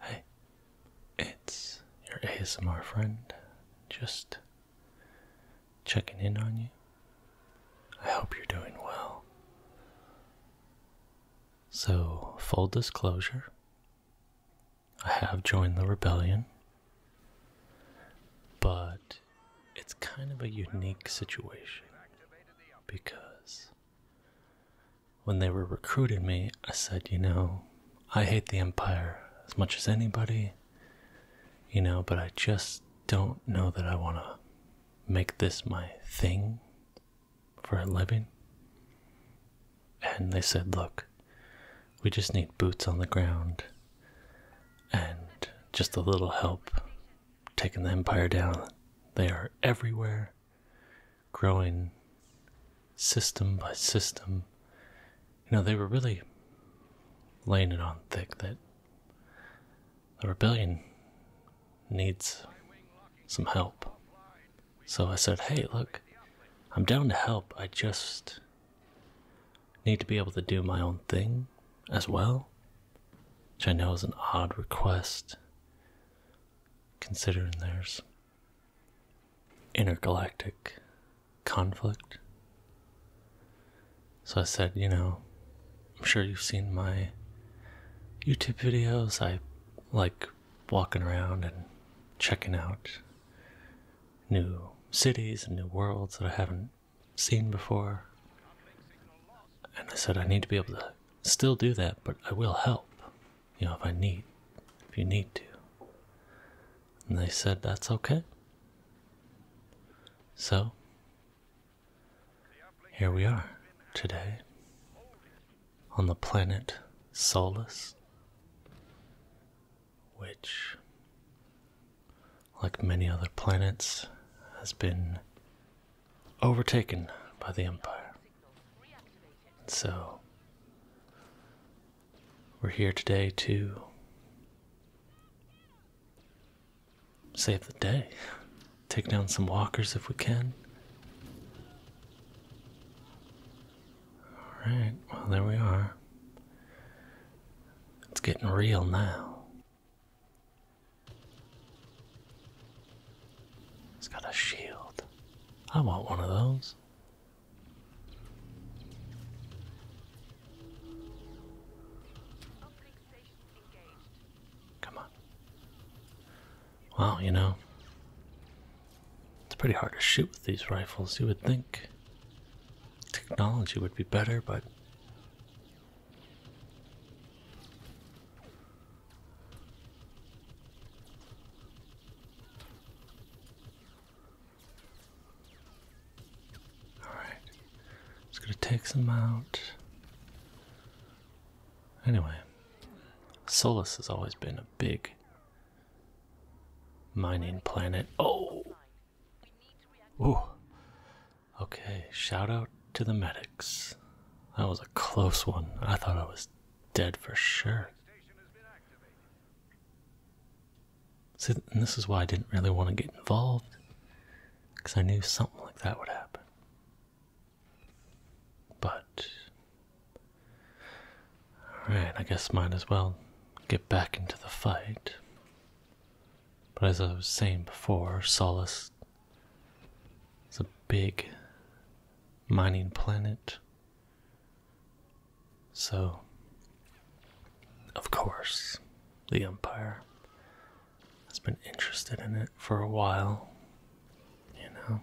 Hey, it's your ASMR friend. Just checking in on you. I hope you're doing well. So, full disclosure, I have joined the rebellion, but it's kind of a unique situation because when they were recruiting me, I said, you know, I hate the Empire as much as anybody, you know, but I just don't know that I want to make this my thing for a living. And they said, look, we just need boots on the ground and just a little help taking the Empire down. They are everywhere growing system by system. You know, they were really laying it on thick that the rebellion needs some help. So I said, hey, look, I'm down to help. I just need to be able to do my own thing as well, which I know is an odd request considering there's intergalactic conflict. So I said, you know, I'm sure you've seen my YouTube videos. I like walking around and checking out new cities and new worlds that I haven't seen before. And I said, I need to be able to still do that, but I will help, you know, if I need, if you need to. And they said, that's okay. So, here we are today on the planet Solus, which, like many other planets, has been overtaken by the Empire. So, we're here today to save the day, take down some walkers if we can. Alright, well, there we are. It's getting real now. It's got a shield. I want one of those. Come on. Wow, you know, it's pretty hard to shoot with these rifles. You would think technology would be better, but all right, just gonna take some out. Anyway, Solus has always been a big mining planet. Oh, oh, Okay, shout out to the medics. That was a close one. I thought I was dead for sure. See, and this is why I didn't really want to get involved, because I knew something like that would happen. But, alright, I guess might as well get back into the fight. But as I was saying before, Solus is a big mining planet. So, of course, the Empire has been interested in it for a while. You know?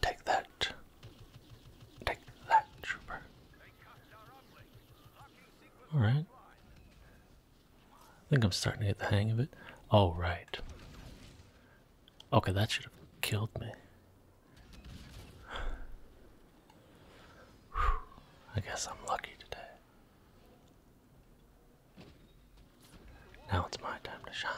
Take that. Take that, trooper. Alright. I think I'm starting to get the hang of it. All right. Okay, that should have killed me. I guess I'm lucky today. Now it's my time to shine.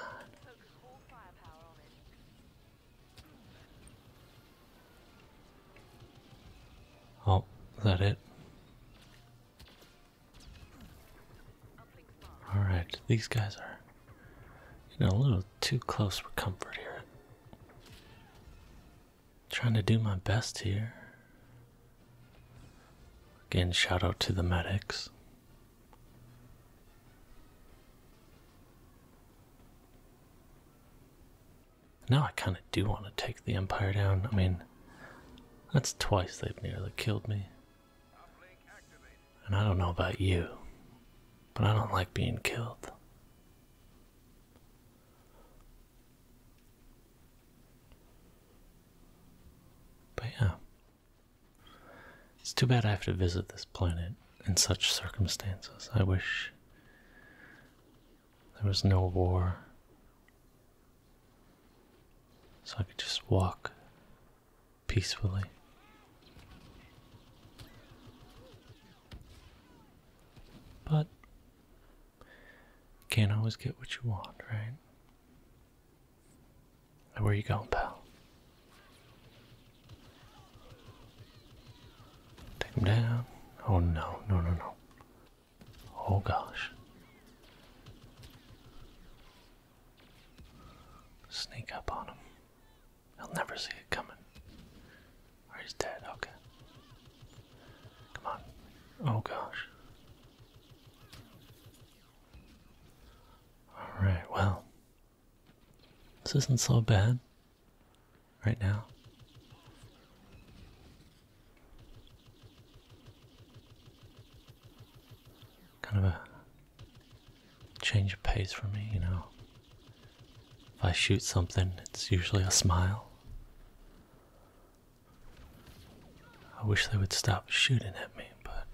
Oh, is that it? Alright, these guys are getting a little too close for comfort here. Trying to do my best here. Again, shout out to the medics. Now I kind of do want to take the Empire down. I mean, that's twice they've nearly killed me. And I don't know about you, but I don't like being killed. But yeah. It's too bad I have to visit this planet in such circumstances. I wish there was no war. So I could just walk peacefully. But can't always get what you want, right? Where you going, pal? Take him down. Oh no, no, no, no. Oh gosh. Sneak up on him. He'll never see it coming. Or he's dead, okay. Come on. Oh gosh. Alright, well. This isn't so bad right now. Kind of a change of pace for me, you know. If I shoot something, it's usually a smile. I wish they would stop shooting at me, but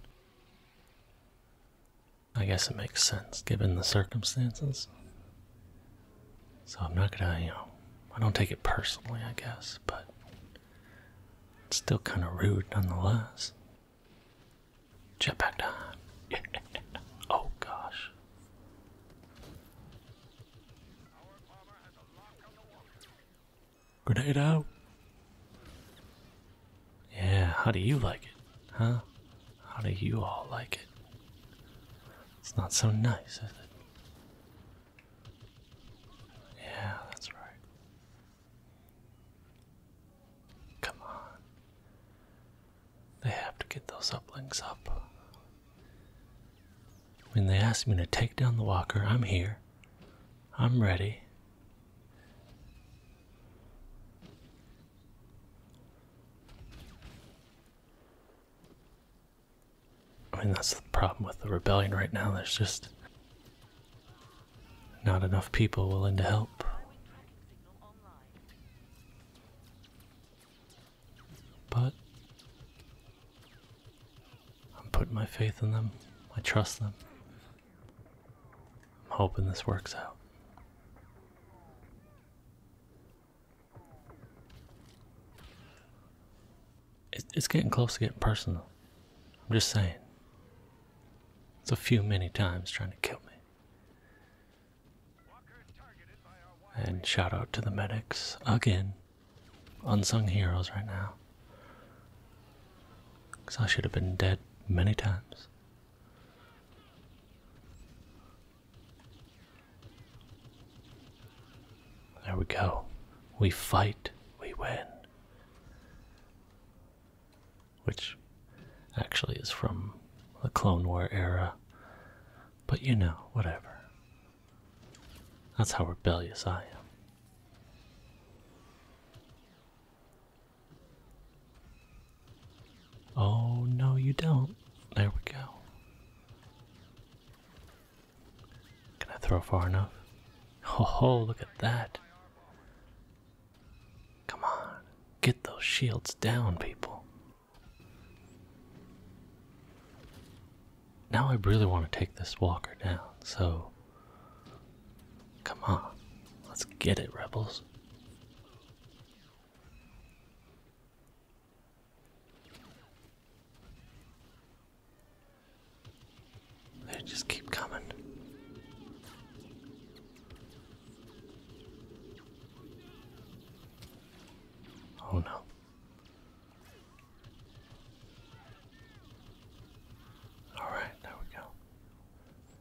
I guess it makes sense given the circumstances. So I'm not gonna, you know, I don't take it personally, I guess, but it's still kind of rude nonetheless. Jetpack time. Yeah. Oh gosh. Grenade Yeah, how do you like it, huh? How do you all like it? It's not so nice, is it? Yeah, that's right. Come on. They have to get those uplinks up. When they ask me to take down the walker, I'm here. I'm ready. I mean, that's the problem with the rebellion right now. There's just not enough people willing to help. But I'm putting my faith in them, I trust them. I'm hoping this works out. It's getting close to getting personal. I'm just saying. It's a few many times trying to kill me. And shout out to the medics again. Unsung heroes right now. Because I should have been dead many times. There we go. We fight, we win. Which actually is from the Clone War era. But you know, whatever. That's how rebellious I am. Oh, no, you don't. There we go. Can I throw far enough? Oh, look at that. Come on, get those shields down, people. Now I really want to take this walker down, so. Come on, let's get it, rebels. They just keep coming. Oh no. All right, there we go.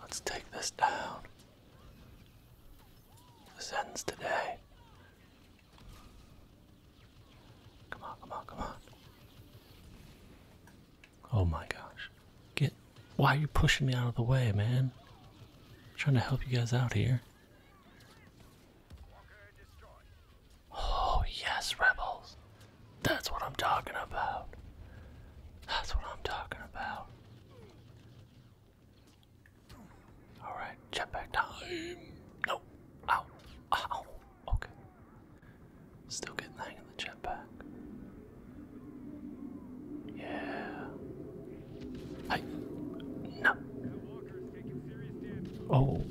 Let's take this down. This ends today. Come on, come on, come on. Oh my gosh. Get. Why are you pushing me out of the way, man? I'm trying to help you guys out here. Oh, yes, rebels. That's what I'm talking about. That's what I'm talking about. Alright, jetpack time. No. Ow. Ow. Okay. Still getting the hang of the jetpack. Yeah. Hey. No. Oh.